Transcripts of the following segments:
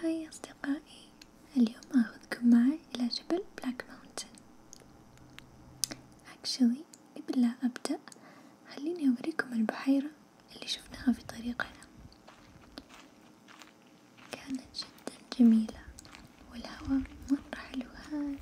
هاي أصدقائي اليوم أخذكم معي إلى جبل بلاك ماونتن actually قبل لا أبدأ خليني أوريكم البحيرة اللي شفناها في طريقنا كانت جدا جميلة والهواء مرة حلو هادي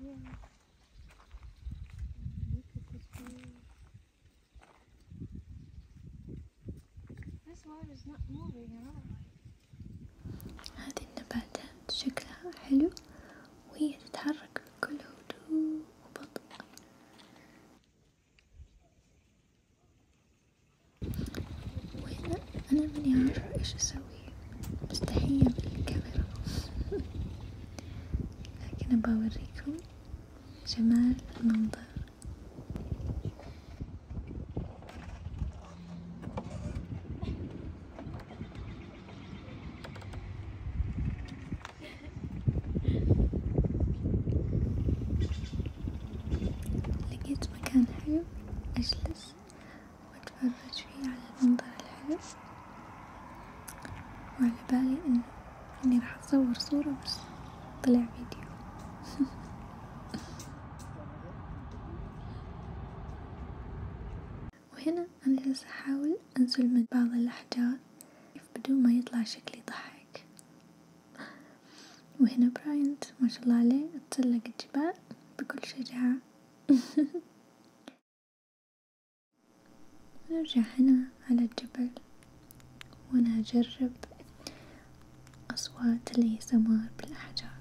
Yeah. هذه النباتات شكلها حلو وهي تتحرك بكل هدوء وبطء وهنا أنا ماني عارفة إيش أسوي مستحية بالكاميرا لكن بوريكم جمال المنظر لقيت مكان حلو أجلس وأتفرج فيه على المنظر الحلو وعلى بالي ان إني راح أصور صورة بس طلع فيديو وهنا أنا جالسة أحاول انزل من بعض الأحجار بدون ما يطلع شكلي ضحك وهنا براينت ما شاء الله عليه تسلق الجبال بكل شجاعة نرجع هنا على الجبل وأنا أجرب أصوات السمار بالأحجار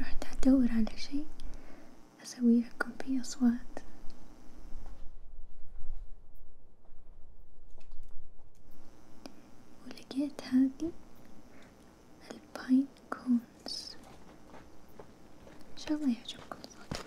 رحت أدور على شي أسوي لكم فيه أصوات ولقيت هذه الباين كونز إن شاء الله يعجبكم الصوت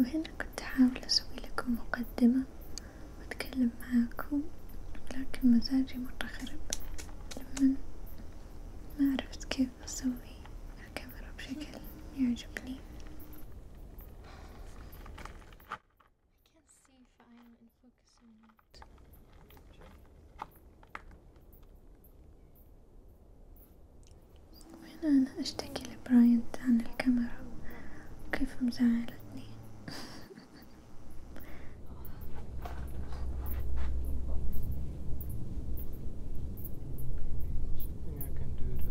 وهنا كنت أحاول أسوي لكم مقدمة وأتكلم معاكم لكن مزاجي مرة خرب لمن ما عرفت كيف أسوي الكاميرا بشكل يعجبني I can't see if I in focus or not. وين أنا أشتكي لبراينت عن الكاميرا كيف مزعلتني I can do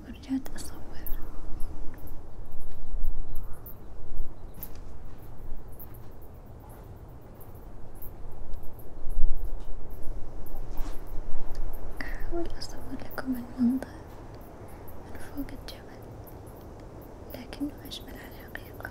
ورجعت أصور أحاول أصور لكم المنظر من فوق الجبل لكنه أجمل على الحقيقة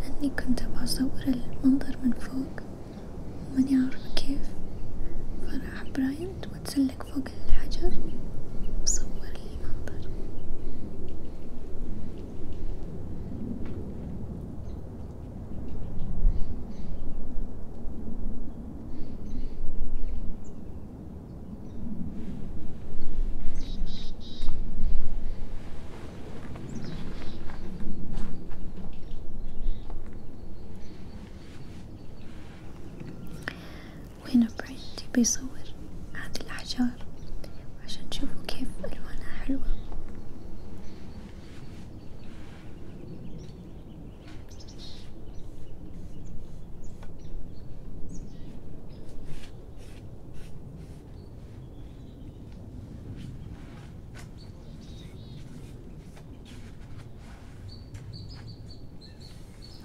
لأني كنت بصور المنظر من فوق وماني عارفة كيف فراح برايم واتسلق فوق الحجر وصور لي وهنا برايتي بيصور هذه الأحجار عشان تشوفوا كيف ألوانها حلوة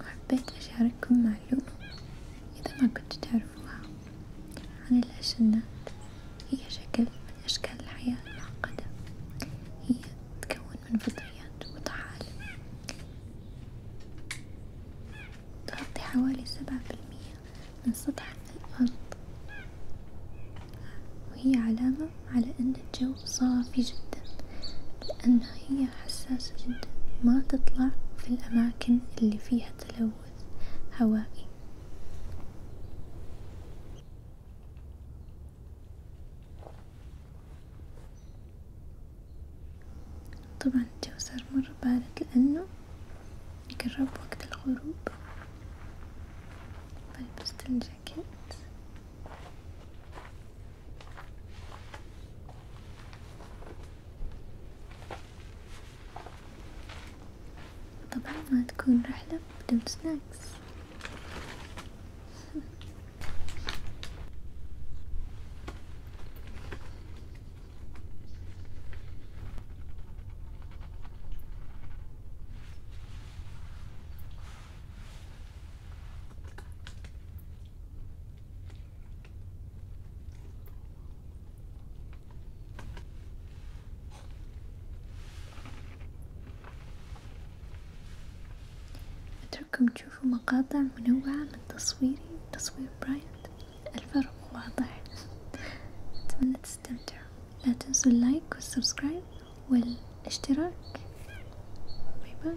وحبيت أشارككم معلومة إذا ما كنتوا تعرفوها عن الأشنات هي شكل من أشكال الحياة المعقدة هي تتكون من فطريات وطحالب تغطي حوالي سبعة بالمية من سطح الأرض وهي علامة على أن الجو صافي جدا لأنها هي حساسة جدا ما تطلع في الأماكن اللي فيها تلوث هوائي طبعا الجو صار مرة بارد لأنه قرب وقت الغروب فلبست طيب، الجاكيت طبعا ما تكون رحلة بدون سناكس أترككم تشوفوا مقاطع منوعة من تصويري تصوير برايد الفرق واضح أتمنى تستمتعوا لا تنسوا اللايك والسبسكرايب والاشتراك باي باي